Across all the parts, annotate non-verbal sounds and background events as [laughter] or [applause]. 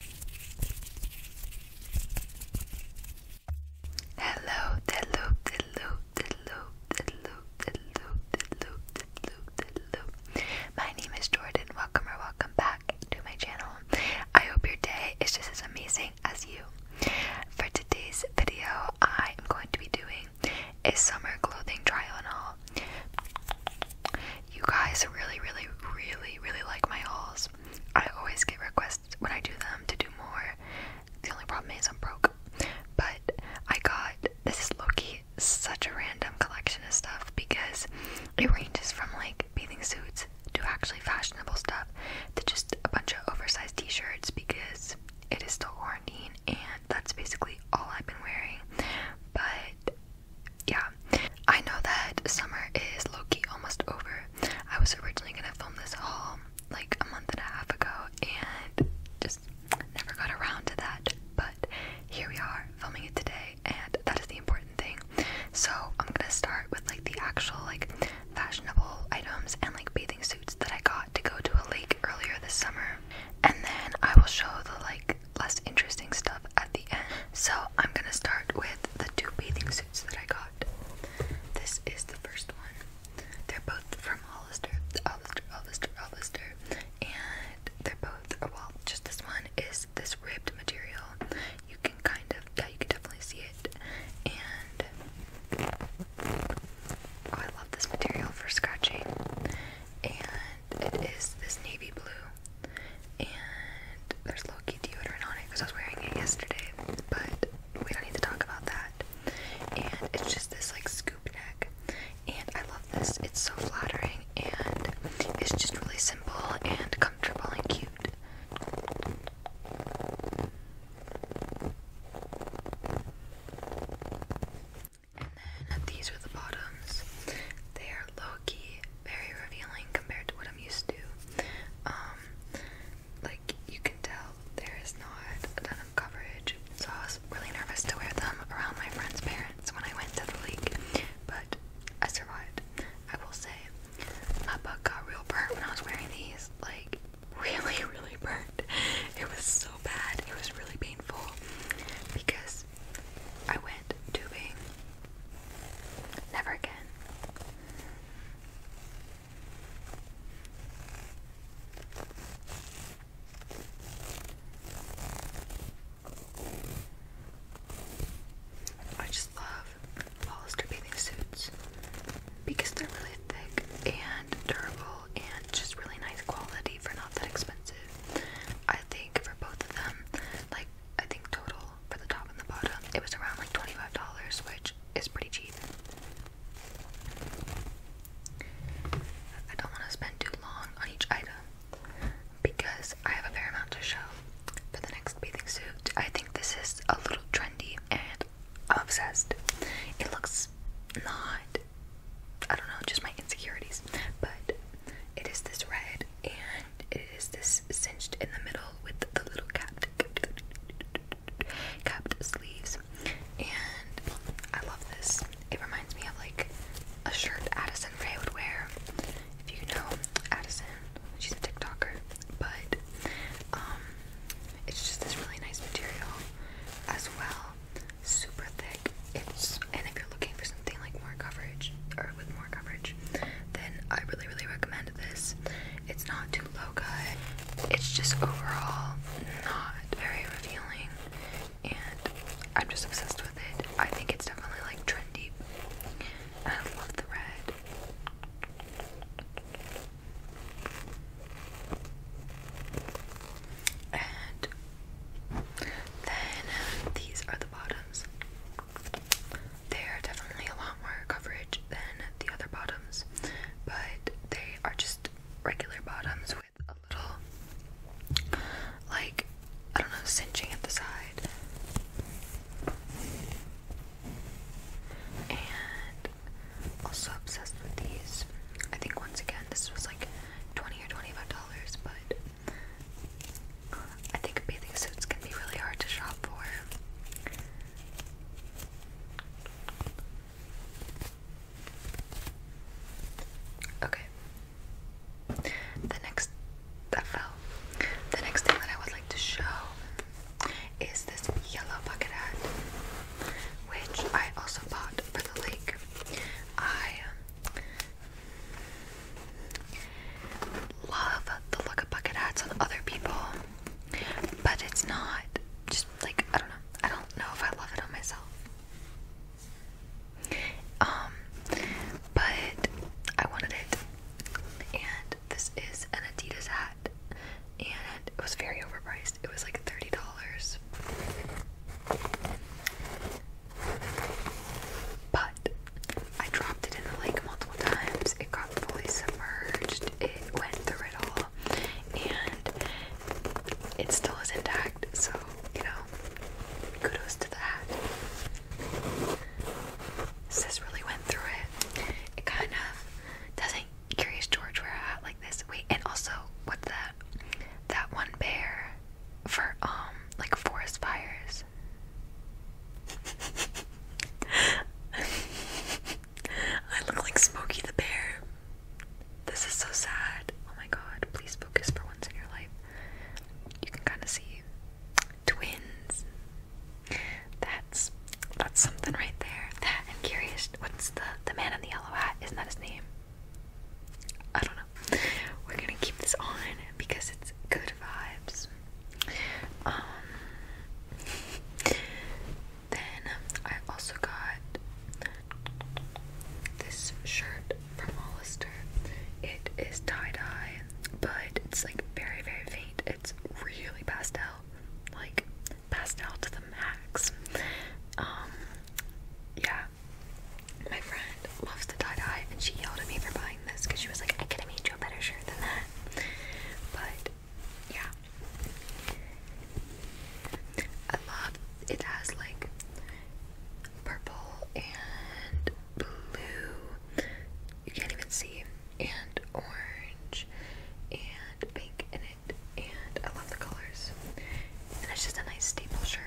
Hello, hello, hello, hello, hello, hello, hello, hello, hello. My name is Jordan. Welcome or welcome back to my channel. I hope your day is just as amazing as you. For today's video, I am going to be doing a summer clothing trial on haul. You guys really, really, really, really like my hauls. I always get requests when I do them to do more. The only problem is I'm broke. But I got this is Loki such a random collection of stuff because it ranges from like bathing suits to actually fashionable stuff to just a bunch of oversized t-shirts because it is still quarantine and that's basically all I've been wearing. But yeah, I know that summer is Loki almost over. I was originally gonna film this haul like a month and a half ago and just never got around to that, but here we are filming it today, and that is the important thing. So, I'm gonna start with like the actual like fashionable items and like bathing suits that I got to go to a lake earlier this summer, and then I will show the like less interesting stuff at the. So I'm gonna start with the two bathing suits that I got. This is the first one. They're both from Hollister, Hollister, Hollister, Hollister, and they're both. Oh, well, just this one is this ribbed material. You can kind of, yeah, you can definitely see it. And oh, I love this material for scratching. And it is this navy blue and there's low key deodorant on it because I was wearing it yesterday, but we don't need to talk about that. And it's just this like scoop neck, and I love this. It's so flattering, and it's just really simple and comfortable and cute. And then these are the bottoms. They are low-key very revealing compared to what I'm used to. Um, like you can tell there is not a ton of coverage, so I was really nervous to wear them around my friend's parents when I went to the lake, but I survived. I will say, my butt got real burnt when I was wearing these, like [laughs] really, really burnt. It was so bad. It was really painful because I went tubing. Never again. I just love Hollister bathing suits because they're really thick and durable and just really nice quality for not that expensive. I think for both of them, like I think total for the top and the bottom, it was around like $25, which is pretty cheap. I don't want to spend too long on each item because I have a fair amount to show for the next bathing suit. I think this is a little trendy and obsessed. It looks not, I don't know, just my insecurities, but it is this red and it is this cinched in the middle with the little capped, capped sleeves. And I love this. It reminds me of like a shirt Addison Rae would wear. If you know Addison, she's a TikToker. But um, it's just this really nice material as well. Super thick. It's and if you're looking for something like more coverage or with coverage, then I really, really recommend this. It's not too low cut, it's just overall not very revealing, and I'm just obsessed with it. I think it's definitely like trendy. I love the red. And then these are the bottoms. They're definitely a lot more coverage than the other bottoms, but they are just regular bottoms with a little, like, I don't know, cinching at the side. And also obsessed with these. I think once again this was like 20 or 25 dollars, but I think bathing suits can be really hard to shop for. Okay. The next that fell. The next thing that I would like to show is this yellow bucket hat, which I also bought for the lake. I Love the look of bucket hats on other people, but it's not just like I don't know. I don't know if I love it on myself. Um, but I wanted it, and this is an Adidas hat, and it was very overpriced. It was like thirty dollars. But I dropped it in the lake multiple times. It got fully submerged. It went through it all. And it still is intact. So, you know, kudos to that. Sis really went through it. It kind of doesn't Curious George wear a hat like this. Wait, and also what's that? That one bear for um like forest fires. I look like Smokey the Bear. This is so sad. Oh my god, please focus for once in your life. You can kind of see twins. That's that's something right there. That I'm curious. What's the the man in the yellow hat? Isn't that his name? I don't know. We're gonna keep this on because it's good vibes. Um, then I also got this shirt from Hollister. It is tie dye, but it's like very, very faint. It's really pastel, like pastel to the max. Um, yeah, my friend and loves the tie-dye and she yelled at me for buying this because she was like, I could have made you a better shirt than that. But yeah. I love it has like purple and blue. You can't even see. And orange and pink in it. And I love the colors. And it's just a nice staple shirt.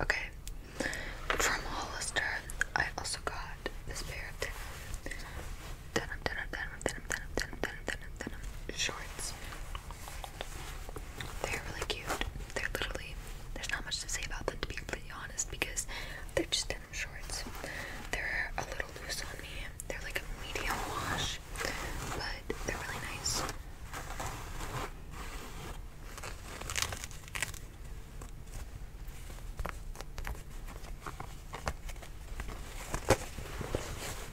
Okay, from Hollister, I also got this pair of denim, denim, denim, denim, denim, denim, denim, denim, denim, shorts. They're really cute. They're literally, there's not much to say about them to be completely honest because they're just denim shorts. They're a little loose on me. They're like a medium wash, but they're really nice.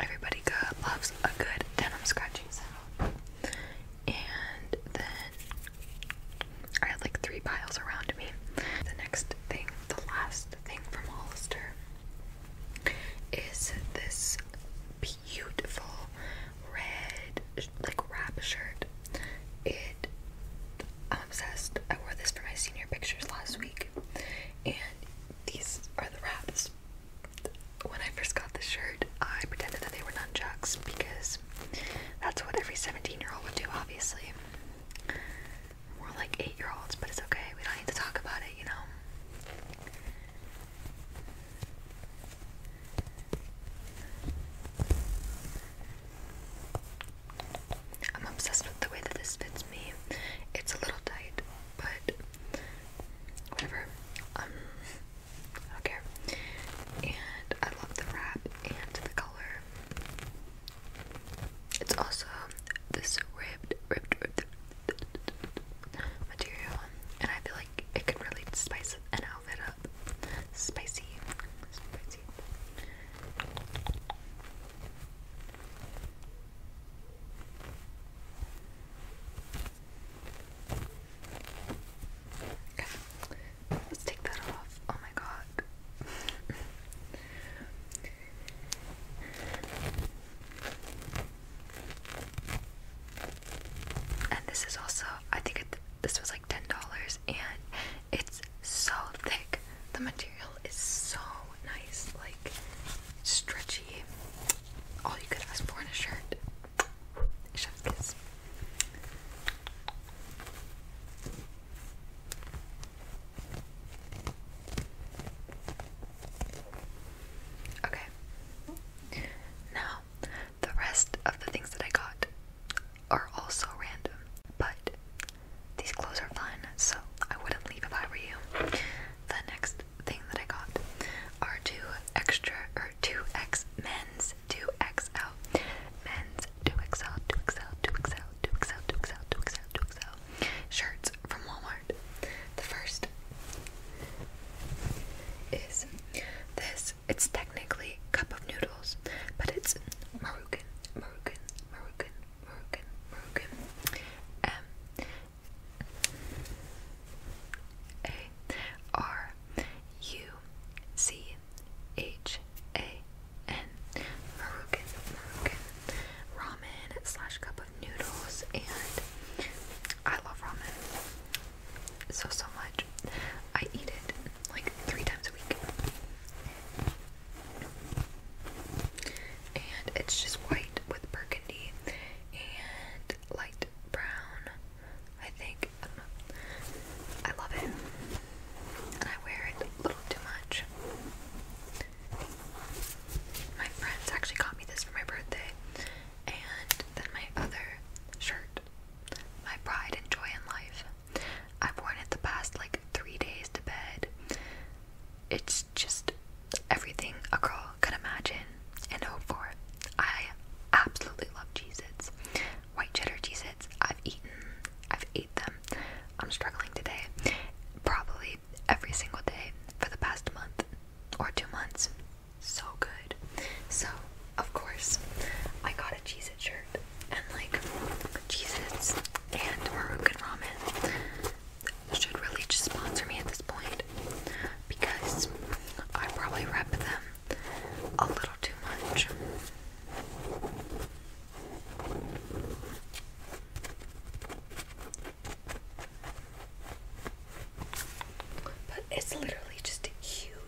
Everybody loves a good denim scratching sound. And then I had like three piles around me. The next thing, the last thing from Hollister is this beautiful red like wrap shirt. It I'm obsessed. I wore this for my senior pictures last week, and these are the wraps. When I first got the shirt, I pretended that they were nunchucks because that's what every 17 year old would do, obviously. More like 8 year olds, but it's okay. We don't need to talk about it, you know? I'm obsessed with the way that this fits me. It's a little tight, but whatever. Um, I don't care. And I love the wrap and the color. It's also this ribbed, ribbed, material, and I feel like it can really spice an outfit up. Spicy, spicy. Let's take that off. Oh my god. and this is also I think it, this was like $10 and it's so thick. The material is so nice, like stretchy. All you could ask for in a shirt. Okay. Now, the rest of the things that I got are also random, but these clothes are fun, so I wouldn't leave if I were you. The next thing that I got are two extra or two X men's two XL men's two XL two XL two XL two XL two XL two XL two XL shirts from Walmart. The first is this. It's technically cup of noodles, but it's maroon Moroccan, Moroccan, Moroccan, Moroccan, Moroccan. M A R U C H A N Moroccan, Moroccan ramen slash cup of noodles, and I love ramen so so much. I eat it like three times a week. And it's just white with burgundy and light brown, I think. I don't know. I love it. And I wear it a little too much. My friends actually got me this for my birthday. And then my other shirt, my pride and joy in life. I've worn it the past like three days to bed. It's just everything a girl could imagine and hope for. I absolutely love Cheez White cheddar Cheez I've eaten, I've ate them. I'm struggling today. Probably every single day for the past month or two months. So good. So, of course, I got a Cheez Cheez-It shirt and like cheez and Marukan Ramen should really just sponsor me at this point because I probably rep them a little too much. But it's literally just a huge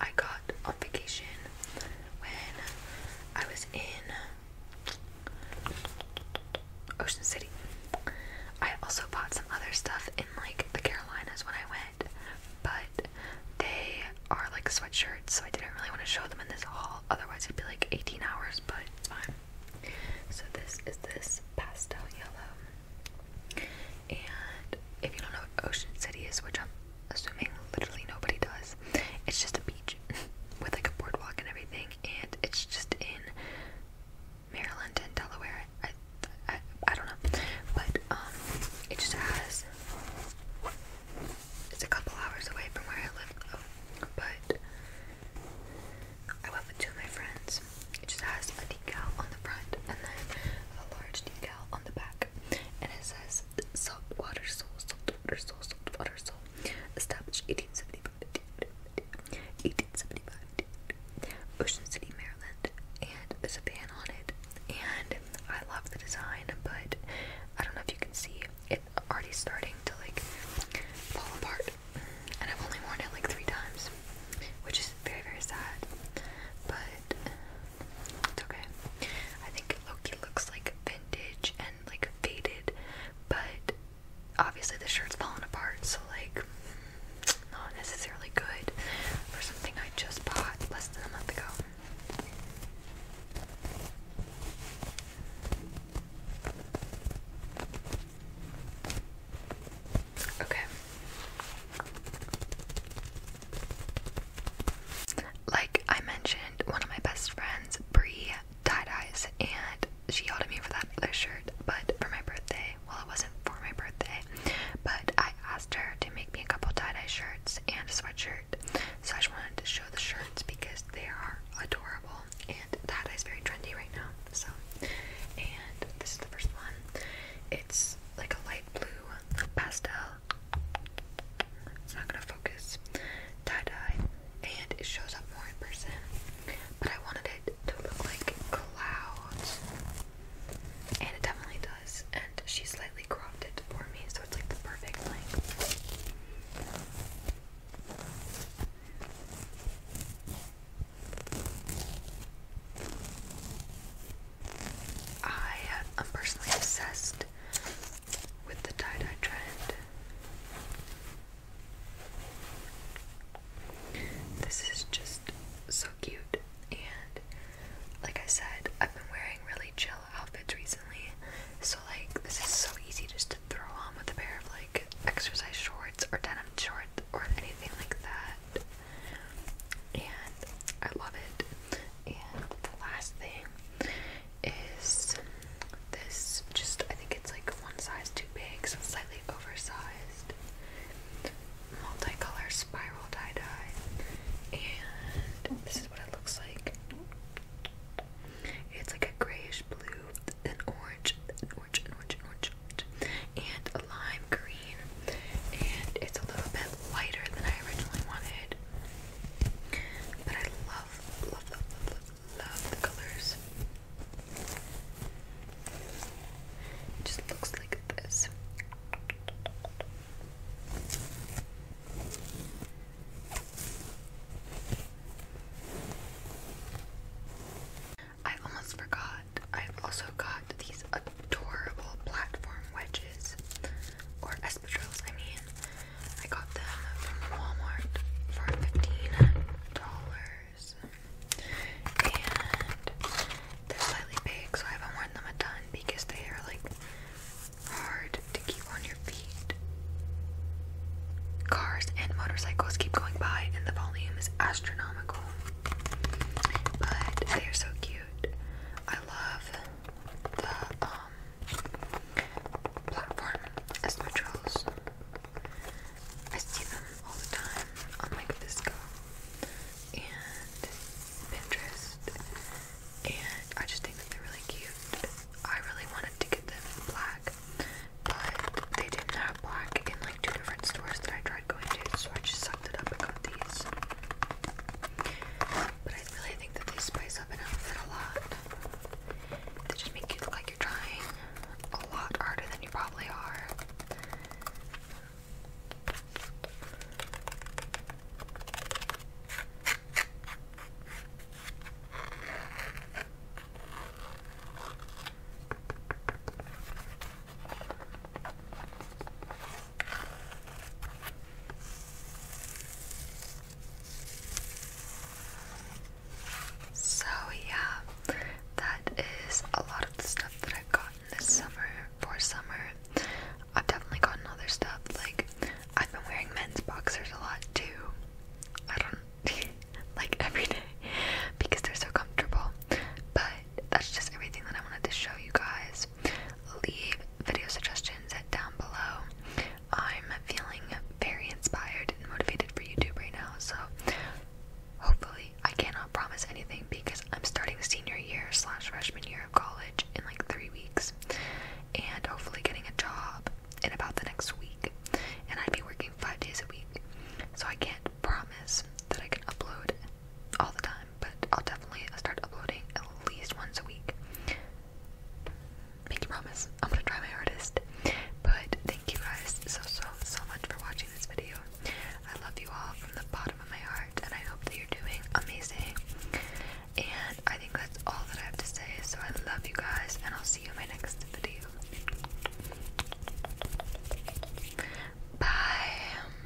I got on vacation when I was in Ocean City. I also bought some other stuff in like the Carolinas when I went, but they are like sweatshirts, so I didn't really want to show them in this haul, otherwise, it'd be like 18 hours, but it's fine. So, this is this pastel yellow. And if you don't know what Ocean City is, which I'm assuming literally nobody does. It's just a beach [laughs] with like a boardwalk and everything, and it's just in Maryland and Delaware. I, I, I don't know, but um, it just has. It's a couple hours away from where I live, But I went with two of my friends. It just has a decal on the front and then a large decal on the back and it says salt saltwater soul, saltwater soul, water, soul, established 1875, 1875, Ocean City, Maryland, and there's a band on it. And I love the design, but I don't know if you can see it already starting to like fall apart. And I've only worn it like three times, which is very, very sad. But it's okay. I think Loki looks like vintage and like faded, but obviously the shirt's falling apart, so like not necessarily good for something I just bought less than a month ago. Okay, like I mentioned, one of my best friends, Bree, tie-dyes, and she yelled at me for that other shirt, but for my birthday, well, it wasn't for my birthday, but I asked her to make me a couple tie-dye shirts and a sweatshirt, so I just wanted to show the shirts because they are adorable, and tie-dye is very trendy right now, so, and this is the first one. It's like a light blue pastel it's not gonna focus. Tie-dye. And it shows up more in person. But I wanted it to look like clouds. And it definitely does. And she slightly cropped it for me, so it's like the perfect length. I am personally obsessed with the tie dye trend. This is just so cute, and like I said, I've been wearing really chill outfits recently, so like this is so easy just to throw on with a pair of like exercise shorts or denim shorts or anything like that and I love it. And the last thing is this just I think it's like one size too big, so slightly oversized multicolor spiral tie-dye. And this is what it looks like. It's like a grayish blue, an orange, an orange, an orange, an orange, orange, and a lime green and it's a little bit lighter than I originally wanted. But I love, love, love, love, love the colors. It just looks like this. I almost forgot. I've also got these adorable platform wedges, or espadrilles, I mean. I got them from Walmart for $15, and they're slightly big, so I haven't worn them a ton because they are like hard to keep on your feet. Cars and motorcycles keep going by, and the volume is astronomical. But they are so cute. I love the um, as platform espadrilles. I see them all the time on like Visco and Pinterest, and I just think that they're really cute. I really wanted to get them in black, but they didn't have black in like two different stores that I tried going to, so I just sucked it up and got these. But I really think that they spice up an outfit a lot. They just make you look like you're trying a lot harder than you probably are. So, yeah, that is a lot of the stuff that I've gotten this summer for summer. I've definitely gotten other stuff, like, I've been wearing men's boxers a lot too. I don't [laughs] like every day because they're so comfortable, but that's just everything that I wanted to show you guys Leave video suggestions down below. I'm feeling very inspired and motivated for YouTube right now, so hopefully I cannot promise anything because I'm starting the senior year slash freshman year of college in like three weeks and hopefully getting a job in about the next week and I'd be working five days a week. So I can't promise that I can upload all the time, but I'll definitely start uploading at least once a week. Make you promise, I'm gonna try my hardest. But thank you guys so so so much for watching this video. I love you all from the bottom of my heart, and I hope that you're doing amazing. And I think that's all that I have to say. So I love you guys, and I'll see you in my next video. Bye.